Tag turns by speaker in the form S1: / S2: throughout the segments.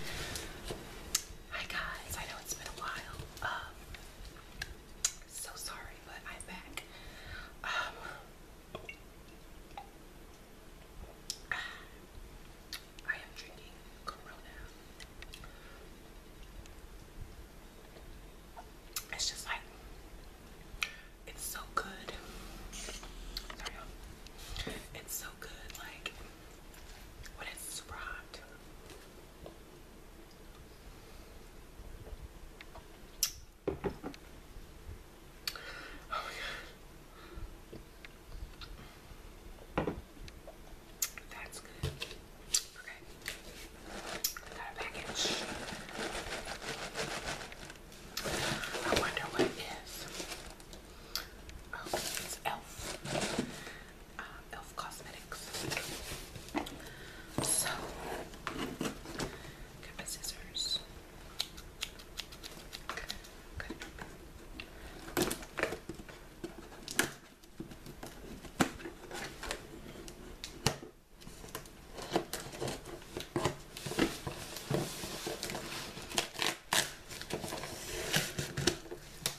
S1: Hi guys, I know it's been a while. Um, so sorry, but I'm back. Um, I am drinking Corona. It's just like it's so good. it's so good. Like it's super hot. Oh my god. That's good. Okay. Got a package. I wonder what it is. Oh, it's Elf. Uh, Elf Cosmetics. So, got my scissors. Cut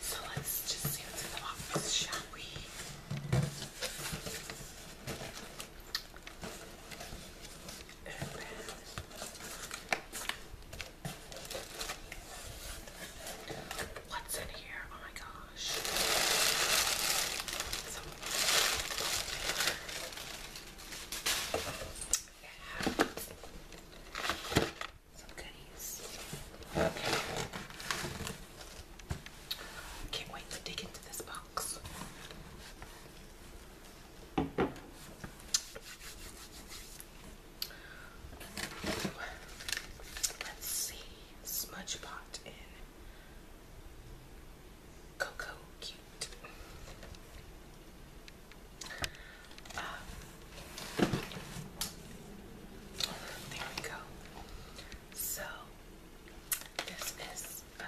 S1: So let's just see what's in the box, shall we? What's in here? Oh my gosh some Can't wait to dig into this box. Let's see, smudge pot in Cocoa Cute. Um, there we go. So this is um,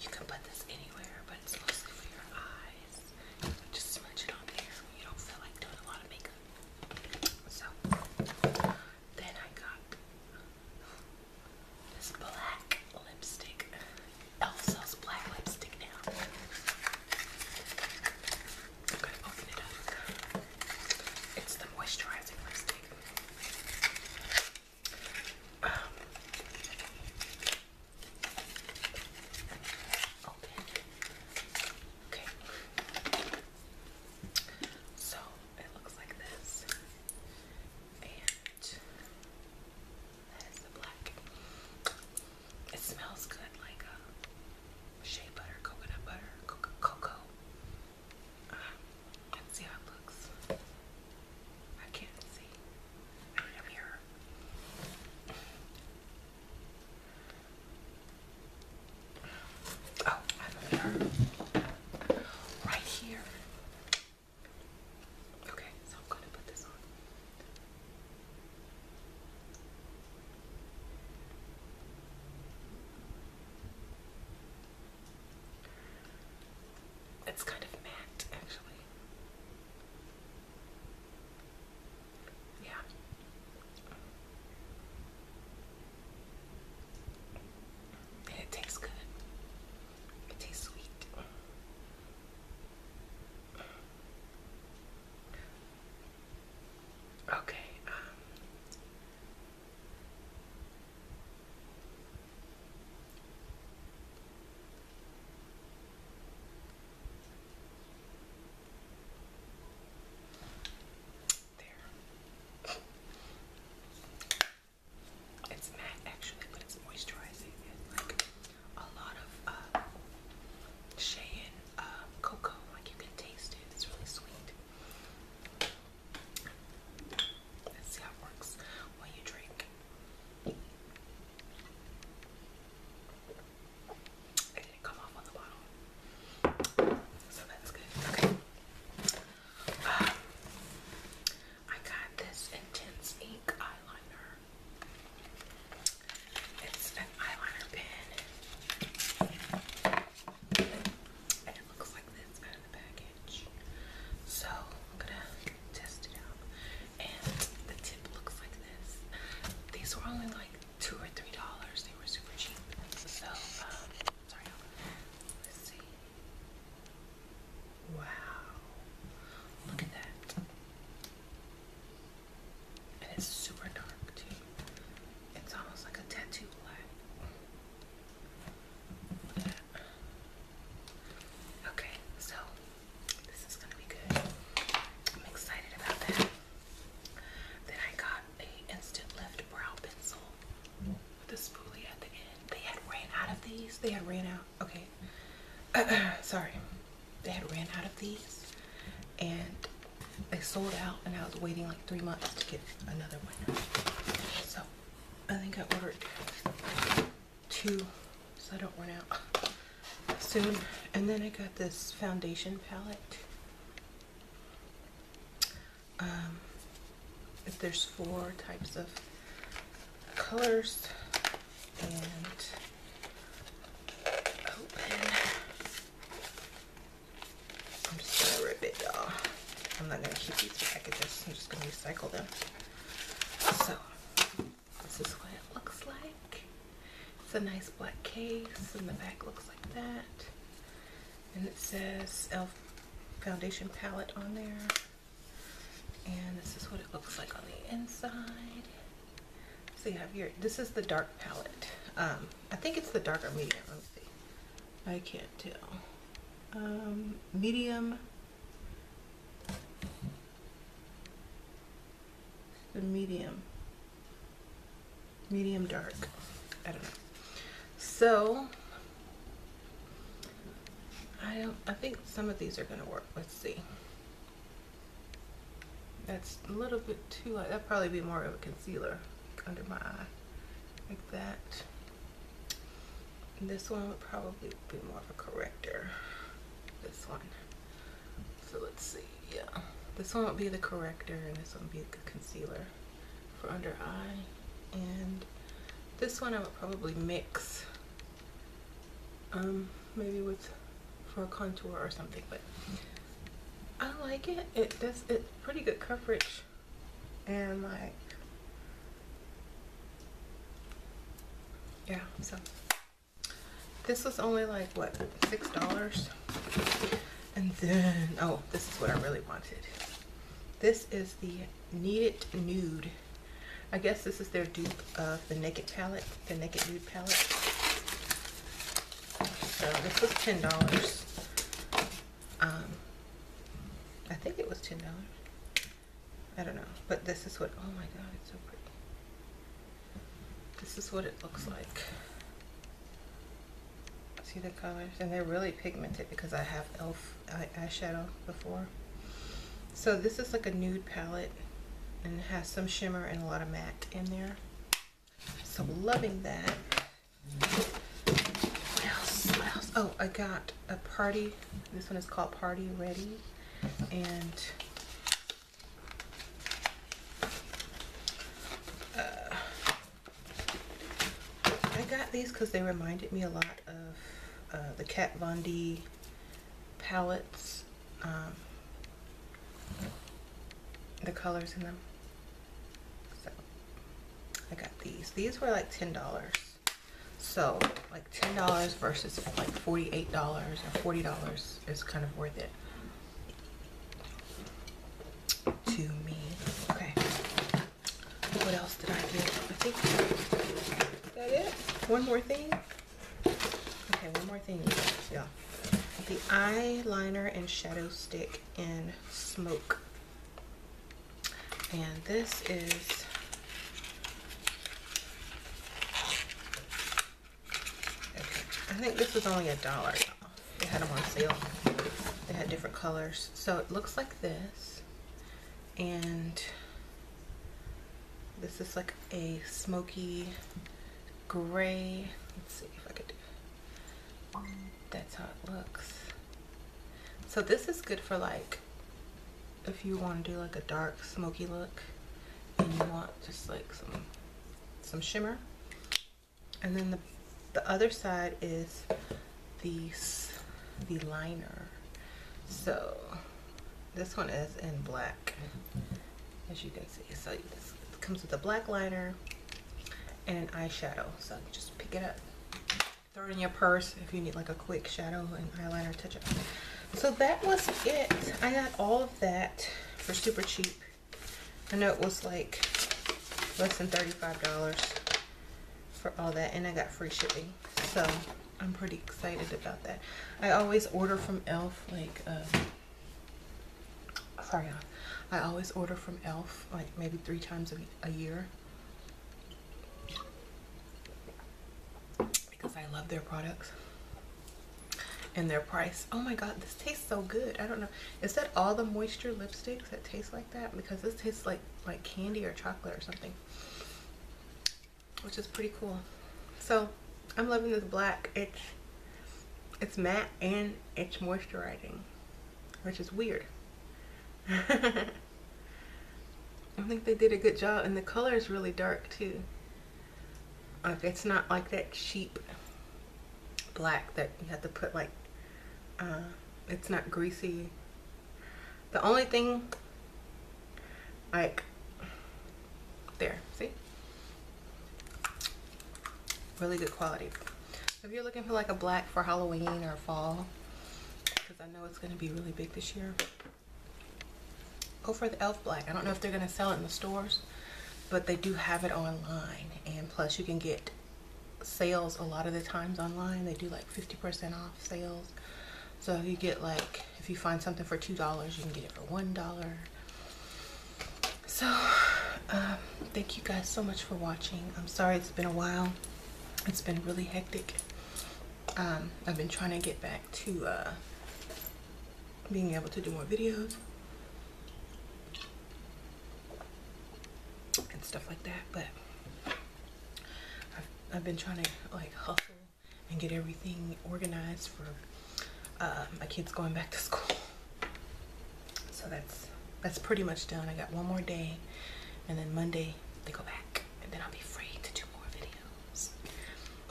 S1: you can put this anywhere, but it's mostly for your eyes. just smudge it on there you don't feel like doing a lot of makeup. So then I got this black lipstick, also black lipstick now. It's the moisturizing lipstick. Um, Okay. So it looks like this. And that is the black. It smells good like a uh, shea butter, coconut butter, cocoa. Uh, let's see how it looks. I can't see. mirror. Oh, I have a right here. Okay, so I'm to put this on. It's kind of matte, actually. Yeah. And it tastes good. It tastes sweet. Okay, um, there. It's matte actually, but it's moisturizing a lot of uh, Cheyenne uh, cocoa, like you can taste it, it's really sweet. Let's see how it works while you drink. It didn't come off on the bottle, so that's good. Okay. Um, I got this Intense Ink eyeliner. It's an eyeliner pen. And it looks like this out of the package. So I'm gonna test it out. And the tip looks like this. These were only like two or three dollars. They were super cheap. So um, sorry. Let's see. Wow. Look at that. And it's super dark too. It's almost like a tattoo black. Okay, so this is gonna be good. I'm excited about that. Then I got a instant lift brow pencil with a spoolie at the end. They had ran out of these. They had ran out. Okay. Sorry they had ran out of these and they sold out and I was waiting like three months to get another one. So I think I ordered two so I don't run out soon. And then I got this foundation palette. Um, there's four types of colors and I'm just gonna rip it, y'all. I'm not gonna keep these packages. I'm just gonna recycle them. So this is what it looks like. It's a nice black case, and the back looks like that. And it says Elf Foundation Palette on there. And this is what it looks like on the inside. So you have your, this is the dark palette. Um, I think it's the darker medium. Let me see. I can't tell. Um, medium. The medium. Medium dark. I don't know. So I don't I think some of these are gonna work. Let's see. That's a little bit too light. Uh, that'd probably be more of a concealer under my eye. Like that. this one would probably be more of a corrector. This one. So let's see. Yeah. This one would be the corrector and this one would be the concealer for under eye. And this one I would probably mix um, maybe with for a contour or something but I like it it does it pretty good coverage and like yeah so this was only like what six dollars and then oh this is what I really wanted this is the Needed Nude I guess this is their dupe of the Naked palette the Naked Nude palette so this was ten dollars. Um, I think it was ten dollars. I don't know, but this is what. Oh my God, it's so pretty. This is what it looks like. See the colors, and they're really pigmented because I have Elf eye eyeshadow before. So this is like a nude palette and has some shimmer and a lot of matte in there. So loving that. What else? What else? Oh, I got a party. This one is called Party Ready. And uh, I got these because they reminded me a lot of uh, the Kat Von D palettes um, the colors in them. So I got these. These were like $10. So like $10 versus like $48 or $40 is kind of worth it to me. Okay. What else did I get? I think that it. One more thing. Okay, one more thing, Yeah the eyeliner and shadow stick in Smoke. And this is I think this was only a dollar, They had them on sale. They had different colors. So it looks like this. And this is like a smoky gray. Let's see if I could do That's how it looks. So this is good for like, if you want to do like a dark smoky look and you want just like some, some shimmer. And then the, the other side is the, the liner. So this one is in black as you can see so it comes with a black liner and an eyeshadow so just pick it up throw it in your purse if you need like a quick shadow and eyeliner touch up so that was it I got all of that for super cheap I know it was like less than $35 for all that and I got free shipping so I'm pretty excited about that I always order from e.l.f. like um, Sorry, I always order from e.l.f. like maybe three times a, year because I love their products and their price. Oh my god, this tastes so good. I don't know. Is that all the moisture lipsticks that taste like that? Because this tastes like, like candy or chocolate or something. Which is pretty cool. So, I'm loving this black. It's it's matte and it's moisturizing, which is weird. I think they did a good job and the color is really dark too. it's not like that cheap black that you have to put like, uh, it's not greasy. The only thing like there, see? Really good quality. If you're looking for like a black for Halloween or fall, because I know it's going to be really big this year, go for the e.l.f. black. I don't know if they're going to sell it in the stores, but they do have it online. And plus you can get sales a lot of the times online. They do like 50% off sales. So you get like, if you find something for $2, you can get it for $1 so um, thank you guys so much for watching i'm sorry it's been a while it's been really hectic um, i've been trying to get back to uh, being able to do more videos and stuff like that but I've been trying to like hustle and get everything organized for uh, my kid's going back to school. So that's that's pretty much done. I got one more day and then Monday they go back and then I'll be free to do more videos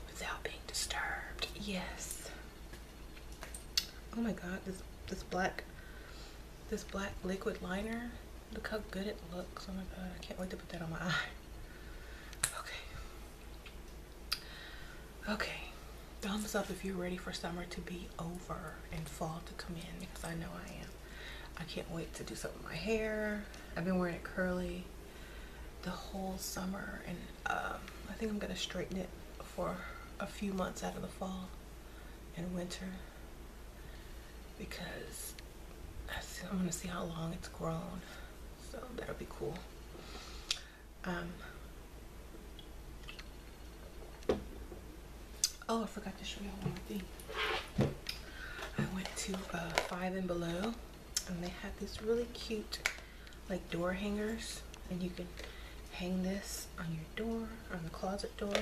S1: without being disturbed. Yes. Oh my god, this this black this black liquid liner. Look how good it looks. Oh my god, I can't wait to put that on my eye. Okay. Okay, thumbs up if you're ready for summer to be over and fall to come in because I know I am. I can't wait to do something with my hair. I've been wearing it curly the whole summer and um, I think I'm gonna straighten it for a few months out of the fall and winter because I'm gonna see how long it's grown so that'll be cool um, oh, I forgot to show you one thing. I went to uh, Five and Below, and they had this really cute, like door hangers, and you can hang this on your door, on the closet door,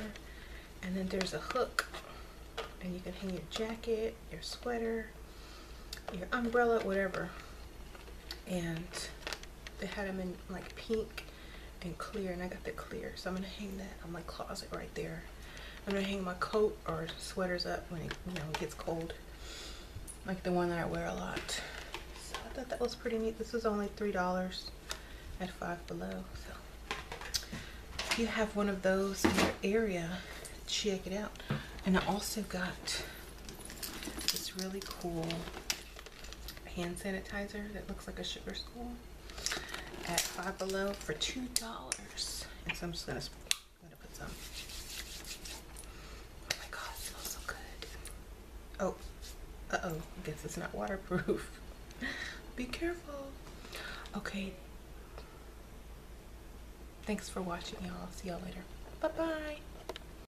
S1: and then there's a hook, and you can hang your jacket, your sweater, your umbrella, whatever and they had them in like pink and clear and I got the clear so I'm gonna hang that on my closet right there I'm gonna hang my coat or sweaters up when it you know it gets cold like the one that I wear a lot so I thought that was pretty neat this was only three dollars at five below so if you have one of those in your area check it out and I also got this really cool hand sanitizer that looks like a sugar school at Five Below for two dollars. And so I'm just gonna, gonna put some. Oh my god, smells so good. Oh, uh oh, I guess it's not waterproof. Be careful. Okay. Thanks for watching, y'all. See y'all later. Bye bye.